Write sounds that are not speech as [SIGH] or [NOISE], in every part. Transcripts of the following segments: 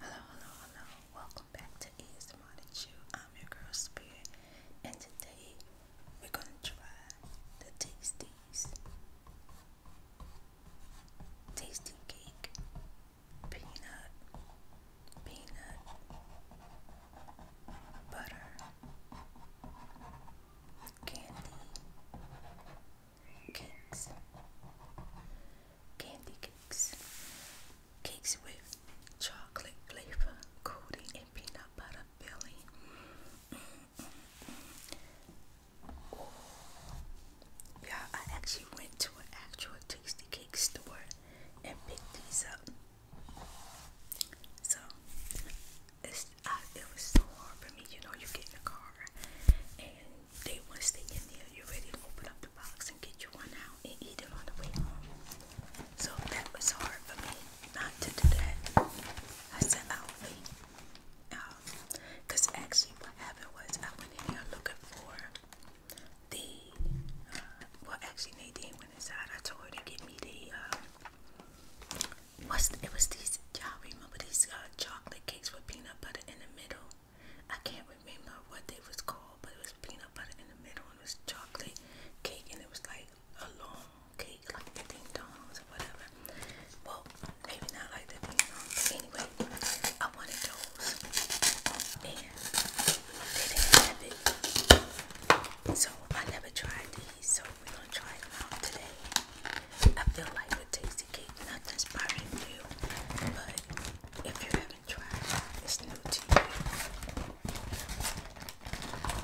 Hello, hello, hello. Welcome back to ASMR and I'm your girl Spirit, and today we're gonna try the Tasties Tasty Cake Peanut Peanut Butter candy cakes, candy cakes, cakes with chocolate flavor coating and peanut butter filling. Yeah, I actually went to an actual tasty cake store and picked these up. So it was so hard for me, you know. You get in the car, and they want to stay in there. You ready to open up the box and get you one out and eat it on the way home. So that was hard for me not to do that. I said I'll wait, um, cause actually what happened was I went in there looking for the. Uh, well, actually Nadine went inside. I told her to get me the. Um, What's it was these? you remember these uh, chocolate cakes with peanut butter in the middle? I can't remember what they was called, but it was peanut butter in the middle and it was chocolate cake, and it was like a long cake, like the ding or whatever. Well, maybe not like the anyway, I wanted those, and they didn't have it, so I never tried these. So we gonna try them out today. I feel like a tasty cake, not just by review, but if you haven't tried it, new to you.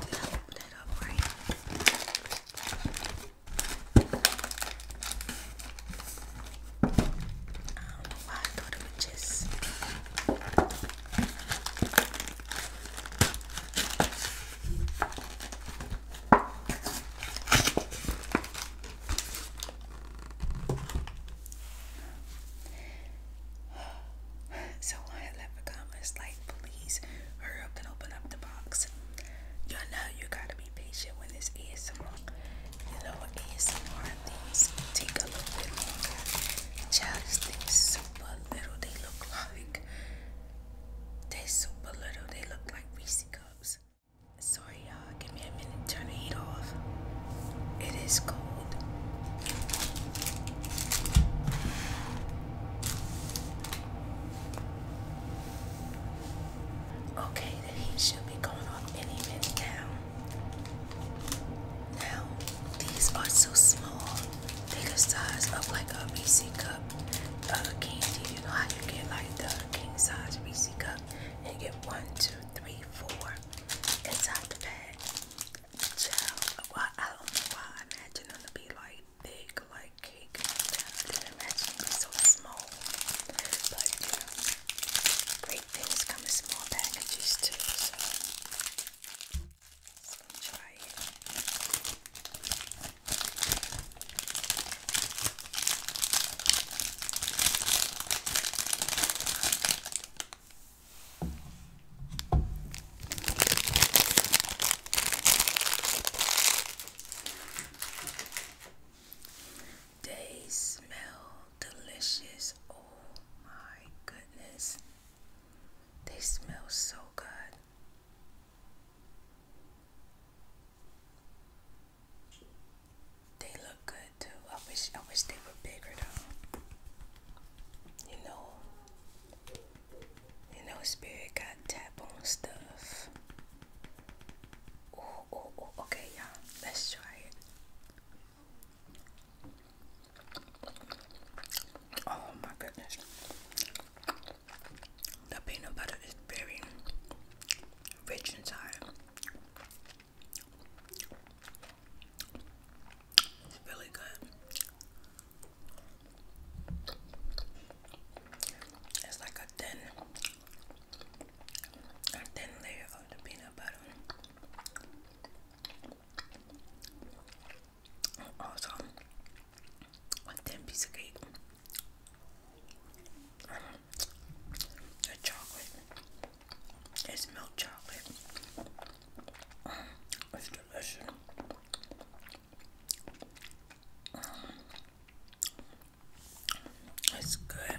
Did open that up right? I don't know just so I leprechaun was like, please hurry up and open up the box. You know you gotta be patient when this ASMR. You know ASMR things take a little bit longer. Child, things super little they look like. They're super little. They look like Reese cups. Sorry y'all, give me a minute. Turn the heat off. It is cold. Okay, the heat should be going off any minute now. Now, these are so small. they the size of like a BC cup cup uh, candy. You know how you get like the king size BC cup and you get one, two, three, four inside the bag. Child, well, I don't know why I imagine them to be like big, like cake. I didn't imagine them to be so small. But you great things come in small packages too. So. They smell delicious. Oh my goodness. They smell so good. They look good too. I wish I wish they were bigger though. You know. You know spirit got tap on stuff. oh oh okay y'all. Let's try it. Oh my goodness. The peanut butter is very rich inside. It's really good. It's like a thin, a thin layer of the peanut butter. Also, one thin piece of cake. the chocolate. It's milk chocolate. it's delicious. it's good.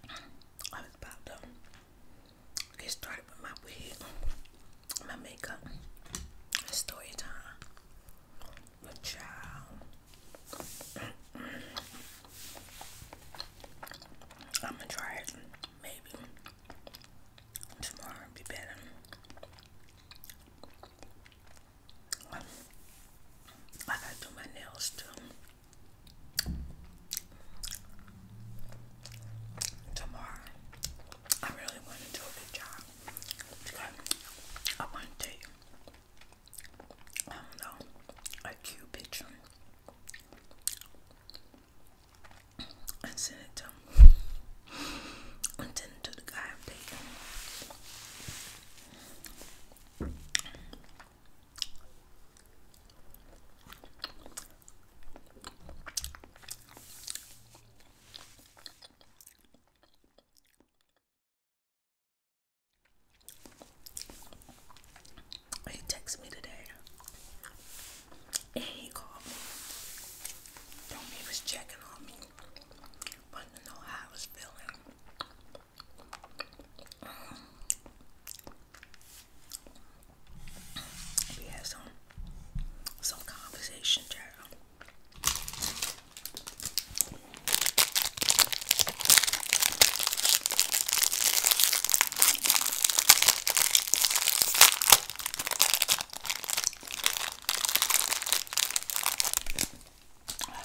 I was about to get started with my wig, my makeup, story time. My child. I'm gonna try it. Maybe tomorrow be better. I gotta do my nails too. Tomorrow, I really want to do a good job I want to I don't know, a cute picture and sent it to him to the guy i he texted me today and he called he was checking on me. Wanted to know how I was feeling. Um, we had some some conversation, child. I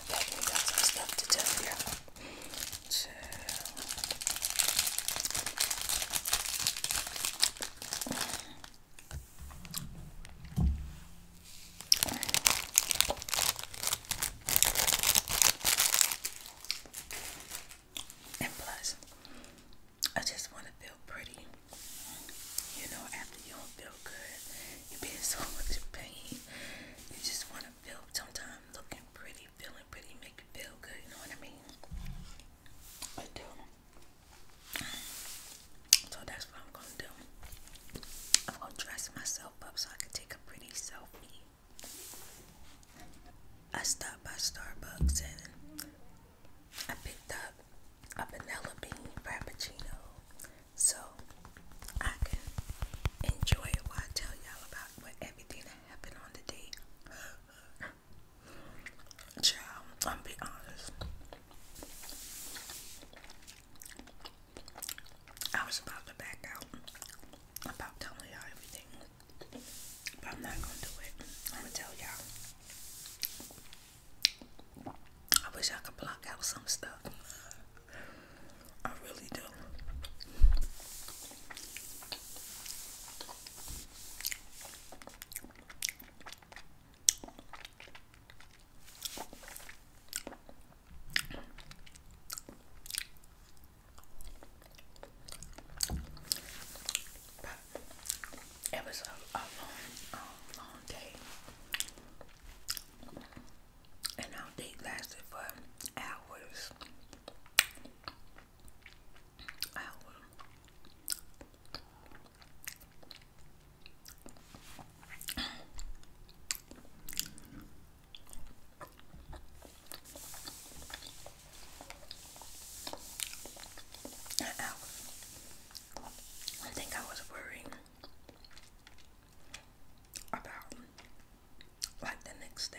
bet we got some stuff to do here. So, and plus, I just want to feel pretty. You know, after you don't feel good, you are being so much pain. You just want to feel sometimes looking pretty, feeling pretty, make you feel good. You know what I mean? I do. So that's what I'm gonna do. I'm gonna dress myself up so I could take a pretty selfie. I stopped by Starbucks and I picked up a vanilla bean frappuccino so I can enjoy it while I tell y'all about what everything that happened on the day. Child, I'm be honest. I was about to back out about telling y'all everything, but I'm not gonna do it. I'm gonna tell y'all. I wish I could block out some stuff. I really do it was a, long, long day, and our date lasted for hours. Hours. I think I was worrying about like the next day.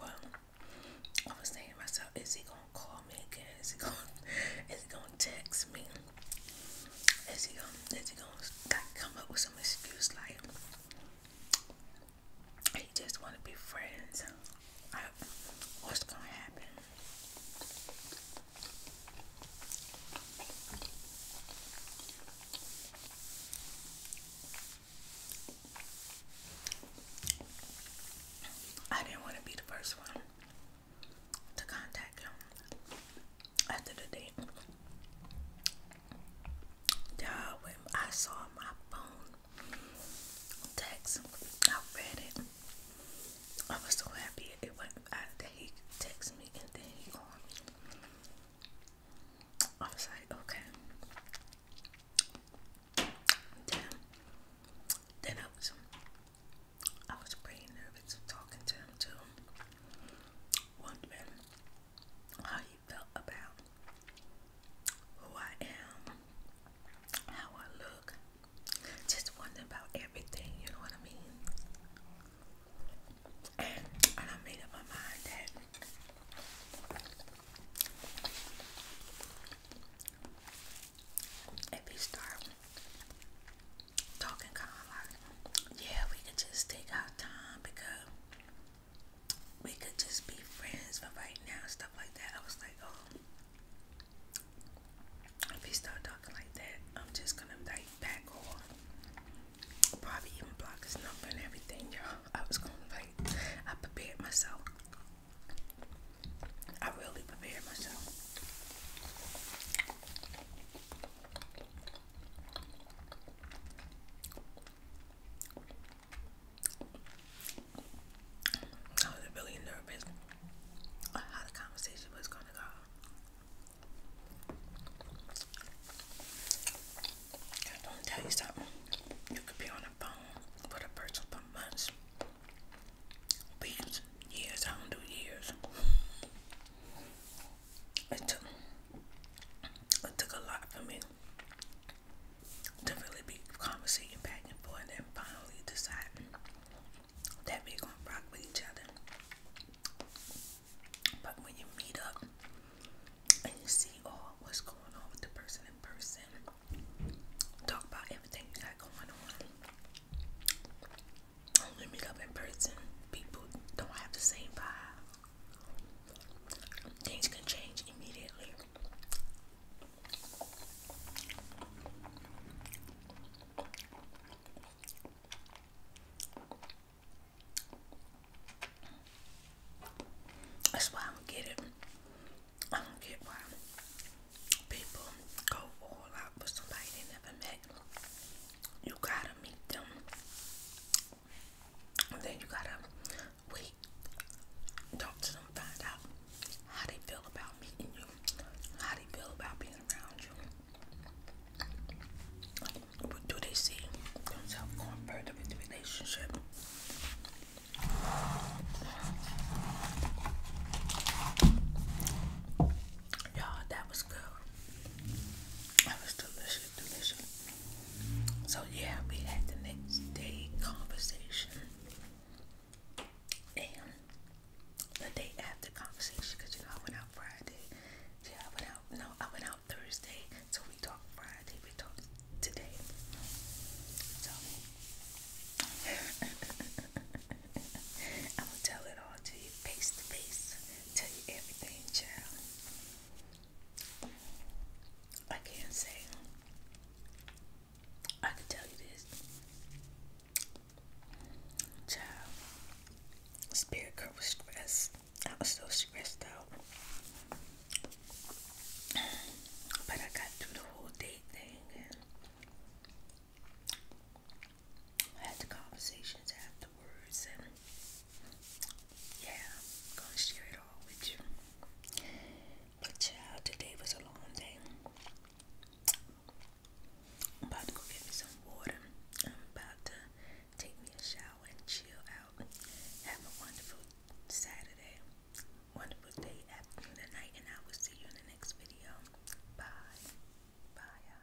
Well, I was thinking to myself, is he gonna call me again? Is he gonna is he gonna text me? Is he gonna, is he gonna come up with some excuse like "I just want to be friends? what's gonna happen? I didn't want to be the first one to contact him after the date. Y'all, when I saw my phone text, I read it. I was so happy it went that he texted me and then he called I was like, okay. Damn. Then I I was pretty nervous talking to him too, wondering how he felt about who I am, how I look, just wondering about everything, you know what I mean? And, I made up my mind that if he started talking kind like, yeah, we could just take our time because we could just be friends for right now, stuff like that. I was like, oh, if he start talking like that, I'm just gonna like back off. Probably even block his number and everything, y'all. I was gonna like, I prepared myself. I really prepared myself. I was really nervous how the conversation was going to go. I'm going tell you something. You could be on the phone with a person for months, weeks, years. I don't do years it took it took a lot for me to really be conversating back and forth and finally deciding that we're gonna rock with each other. But when you meet up and you see all what's going on with the person in person, talk about everything you got going on we meet up in person, people don't have the same vibe. Things can change immediately. That's why I don't I don't get why people go all out with somebody they never met. You gotta meet them. And then you gotta wait. Talk to them, find out how they feel about meeting you, how they feel about being around you. What Do they see themselves going further with the relationship? Y'all, that was good. That was delicious, delicious. So yeah, we had the next day conversation and the day after conversation because you know I went out Friday. Yeah, I went out. No, I went out Thursday. So we talked Friday. We talked today. So [LAUGHS] I will tell it all to you face to face tell you everything, child. I can't say. I can tell you this. Child, spirit girl was I was so stressed out. But I got through the whole date thing I had the conversations afterwards, and yeah, am gonna share it all with you. But child, today was a long day. about to go get me some water. I'm about to take me a shower and chill out. Have a wonderful Saturday, wonderful day, afternoon, and night, and I will see you in the next video. Bye. Bye.